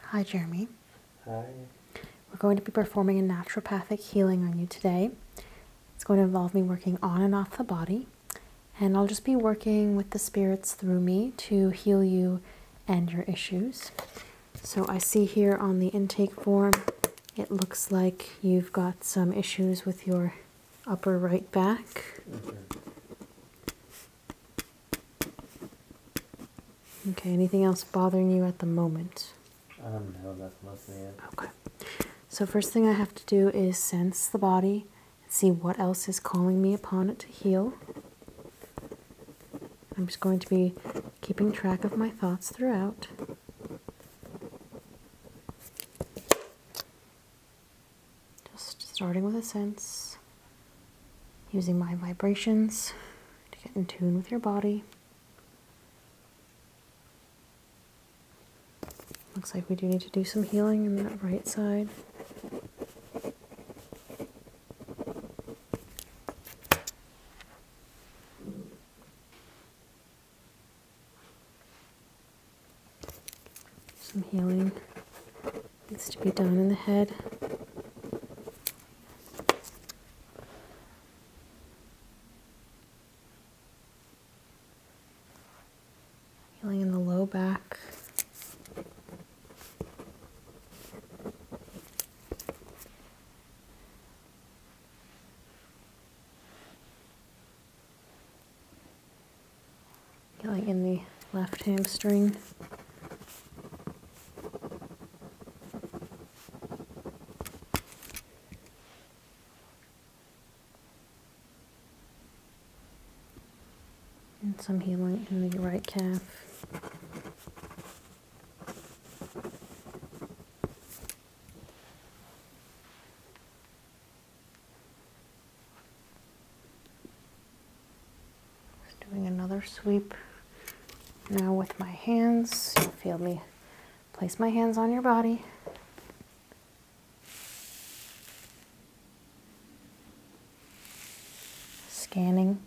Hi, Jeremy. Hi. We're going to be performing a naturopathic healing on you today. It's going to involve me working on and off the body, and I'll just be working with the spirits through me to heal you and your issues. So I see here on the intake form, it looks like you've got some issues with your upper right back. Okay. anything else bothering you at the moment? Um, Okay. So first thing I have to do is sense the body and see what else is calling me upon it to heal. I'm just going to be keeping track of my thoughts throughout. Just starting with a sense, using my vibrations to get in tune with your body. Looks like we do need to do some healing in that right side. Some healing needs to be done in the head. Healing in the low back. Feeling in the left hamstring. And some healing in the right calf. Just doing another sweep now with my hands. feel me place my hands on your body. Scanning,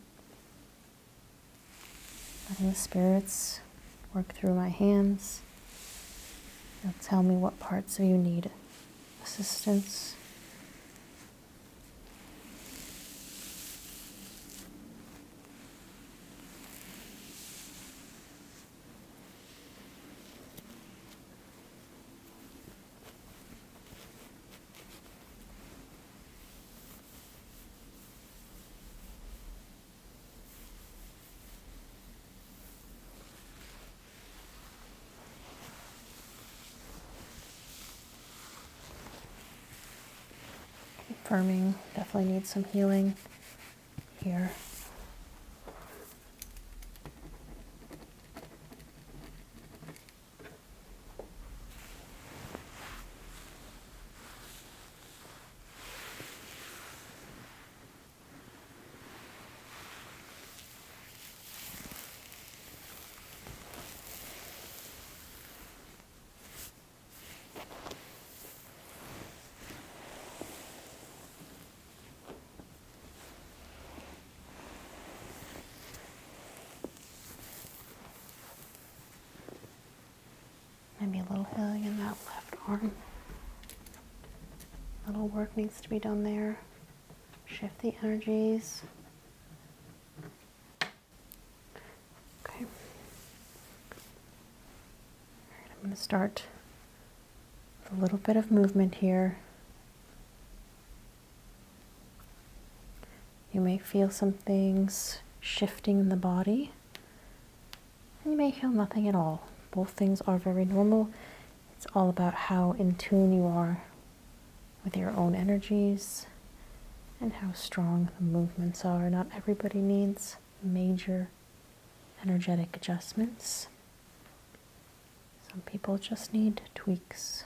letting the spirits work through my hands. Now tell me what parts of you need assistance. Firming, definitely needs some healing here. Maybe a little healing in that left arm. A little work needs to be done there. Shift the energies. Okay. right, I'm going to start with a little bit of movement here. You may feel some things shifting in the body you may feel nothing at all. Both things are very normal. It's all about how in tune you are with your own energies and how strong the movements are. Not everybody needs major energetic adjustments. Some people just need tweaks.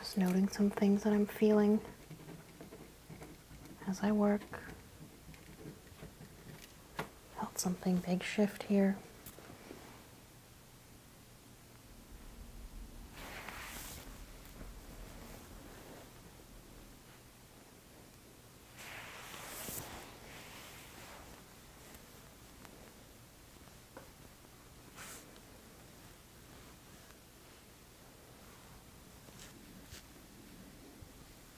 Just noting some things that I'm feeling as I work. Felt something big shift here.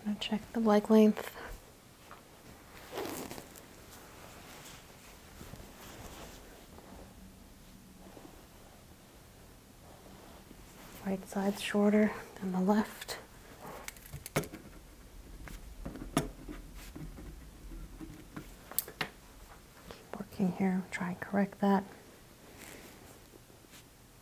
I'm gonna check the leg length. Right side's shorter than the left. Keep working here, try and correct that.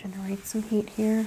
Generate some heat here.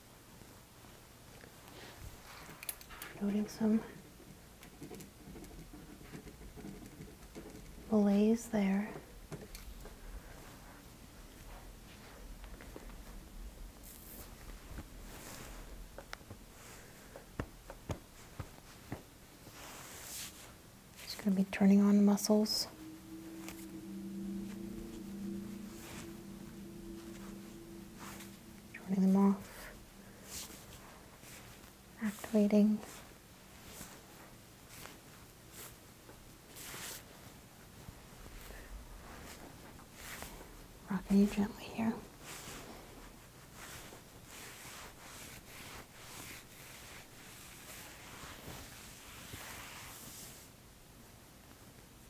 Noting some malaise there. Just going to be turning on muscles turning them off, activating. Rocking you gently here.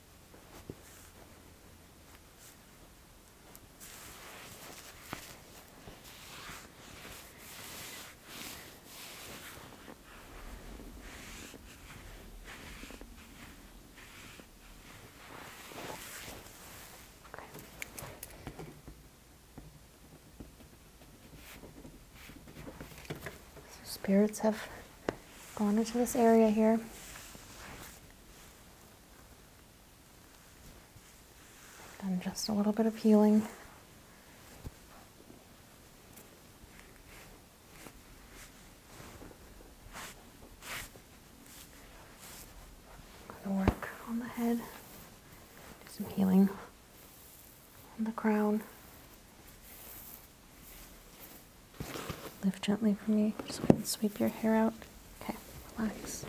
Okay. spirits have gone into this area here. And just a little bit of healing. Gonna work on the head. Do some healing on the crown. Lift gently for me so I can sweep your hair out. Okay, relax.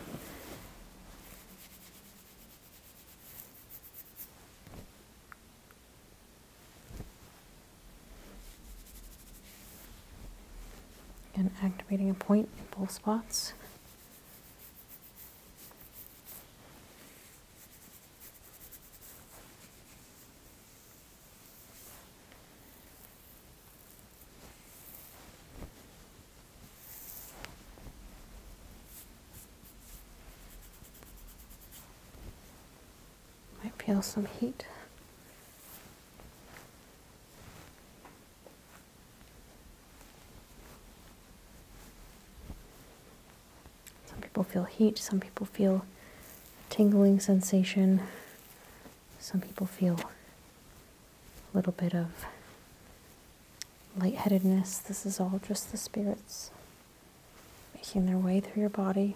And activating a point in both spots. I feel some heat. Some people feel heat, some people feel tingling sensation some people feel a little bit of lightheadedness. This is all just the spirits making their way through your body.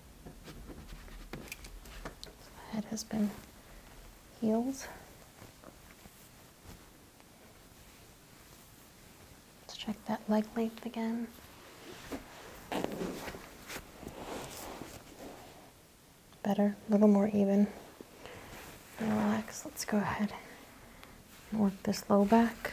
So head has been healed. Let's check that leg length again. Better, a little more even. Relax, let's go ahead and work this low back.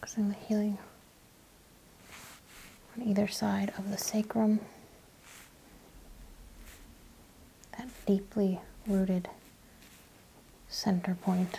Focusing the healing on either side of the sacrum, that deeply rooted center point.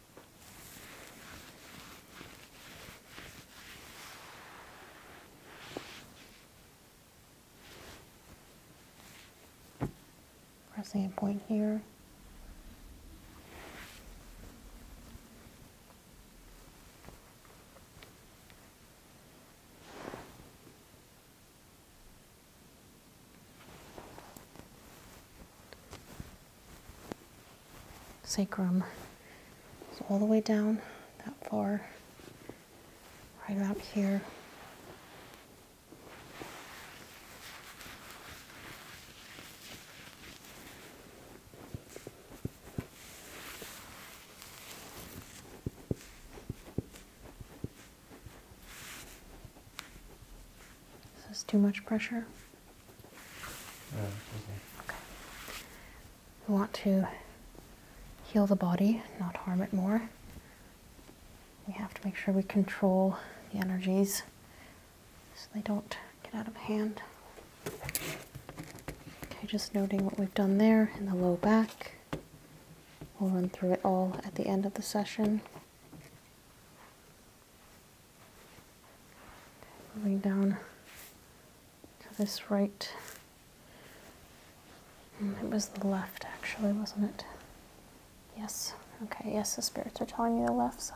Pressing a point here sacrum all the way down that far, right about here. This is too much pressure. We want to heal the body, not harm it more. We have to make sure we control the energies so they don't get out of hand. Okay, just noting what we've done there in the low back. We'll run through it all at the end of the session. Definitely down to this right. Mm, it was the left, actually, wasn't it? Yes. Okay, yes, the spirits are telling me the left side.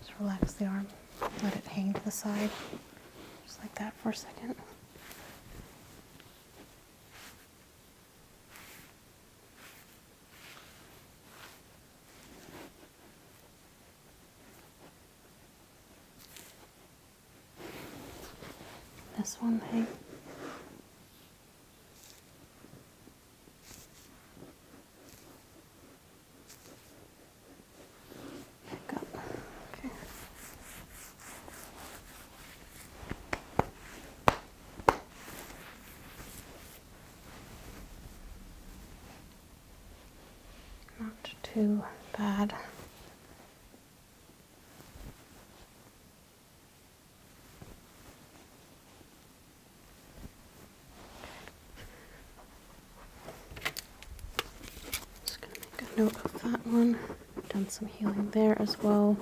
Just relax the arm, let it hang to the side, just like that for a second. This one thing. Pick up. Okay. Not too bad. Just going to make a note of that one. Done some healing there as well.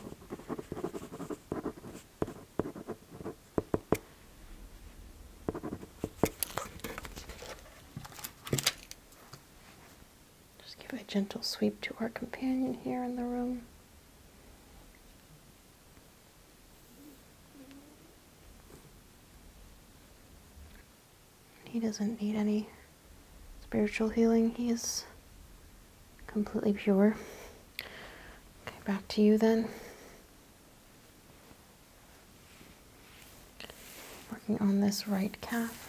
Just give a gentle sweep to our companion here in the room. He doesn't need any spiritual healing. He's completely pure. Okay, back to you then. Working on this right calf.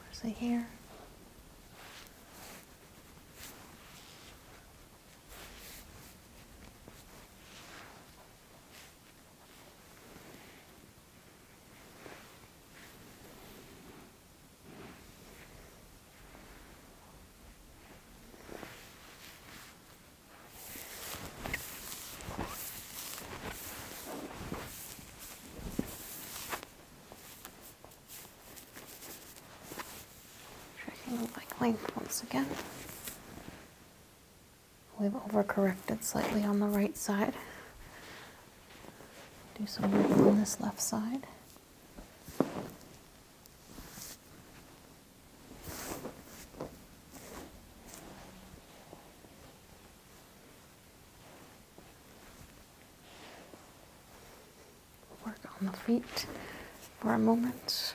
Where's the hair? Checking the bike length once again. We've overcorrected slightly on the right side do some work on this left side. Work on the feet for a moment.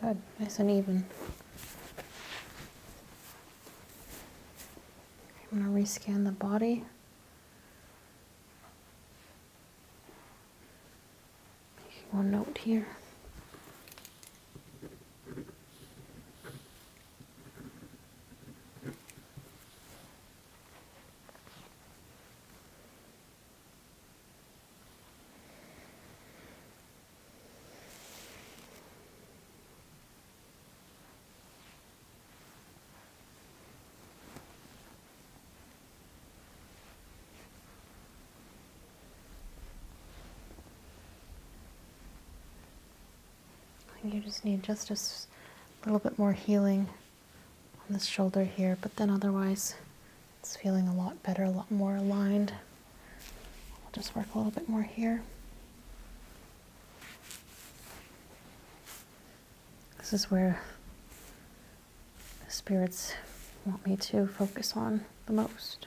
Good, nice and even. I'm going to rescan the body one note here. You just need just a little bit more healing on this shoulder here, but then otherwise it's feeling a lot better, a lot more aligned. we will just work a little bit more here. This is where the spirits want me to focus on the most.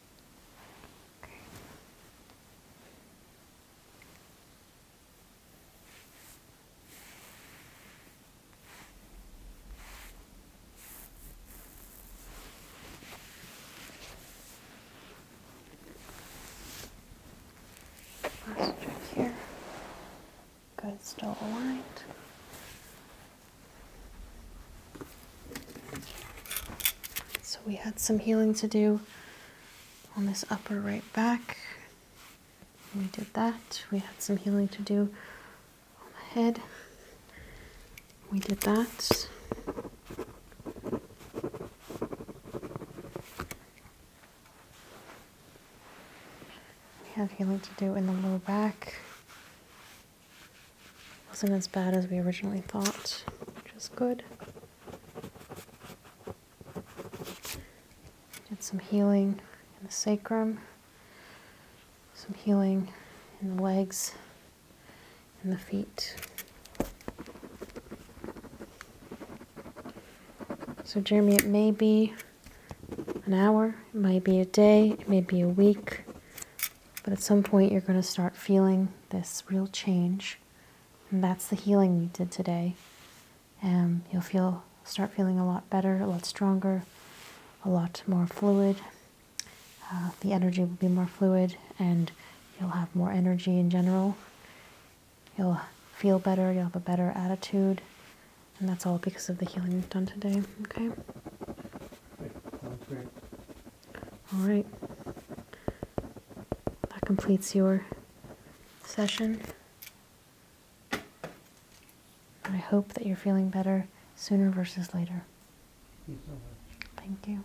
Okay. Last check here. Good, still aligned. So we had some healing to do on this upper right back. We did that. We had some healing to do on the head. We did that. We had healing to do in the low back wasn't as bad as we originally thought, which is good. Did some healing in the sacrum, some healing in the legs and the feet. So, Jeremy, it may be an hour, it may be a day, it may be a week, but at some point, you're going to start feeling this real change. And that's the healing you did today. Um, you'll feel, start feeling a lot better, a lot stronger, a lot more fluid. Uh, the energy will be more fluid, and you'll have more energy in general. You'll feel better, you'll have a better attitude, and that's all because of the healing you have done today, okay? All right. That completes your session. I hope that you're feeling better sooner versus later. Thank you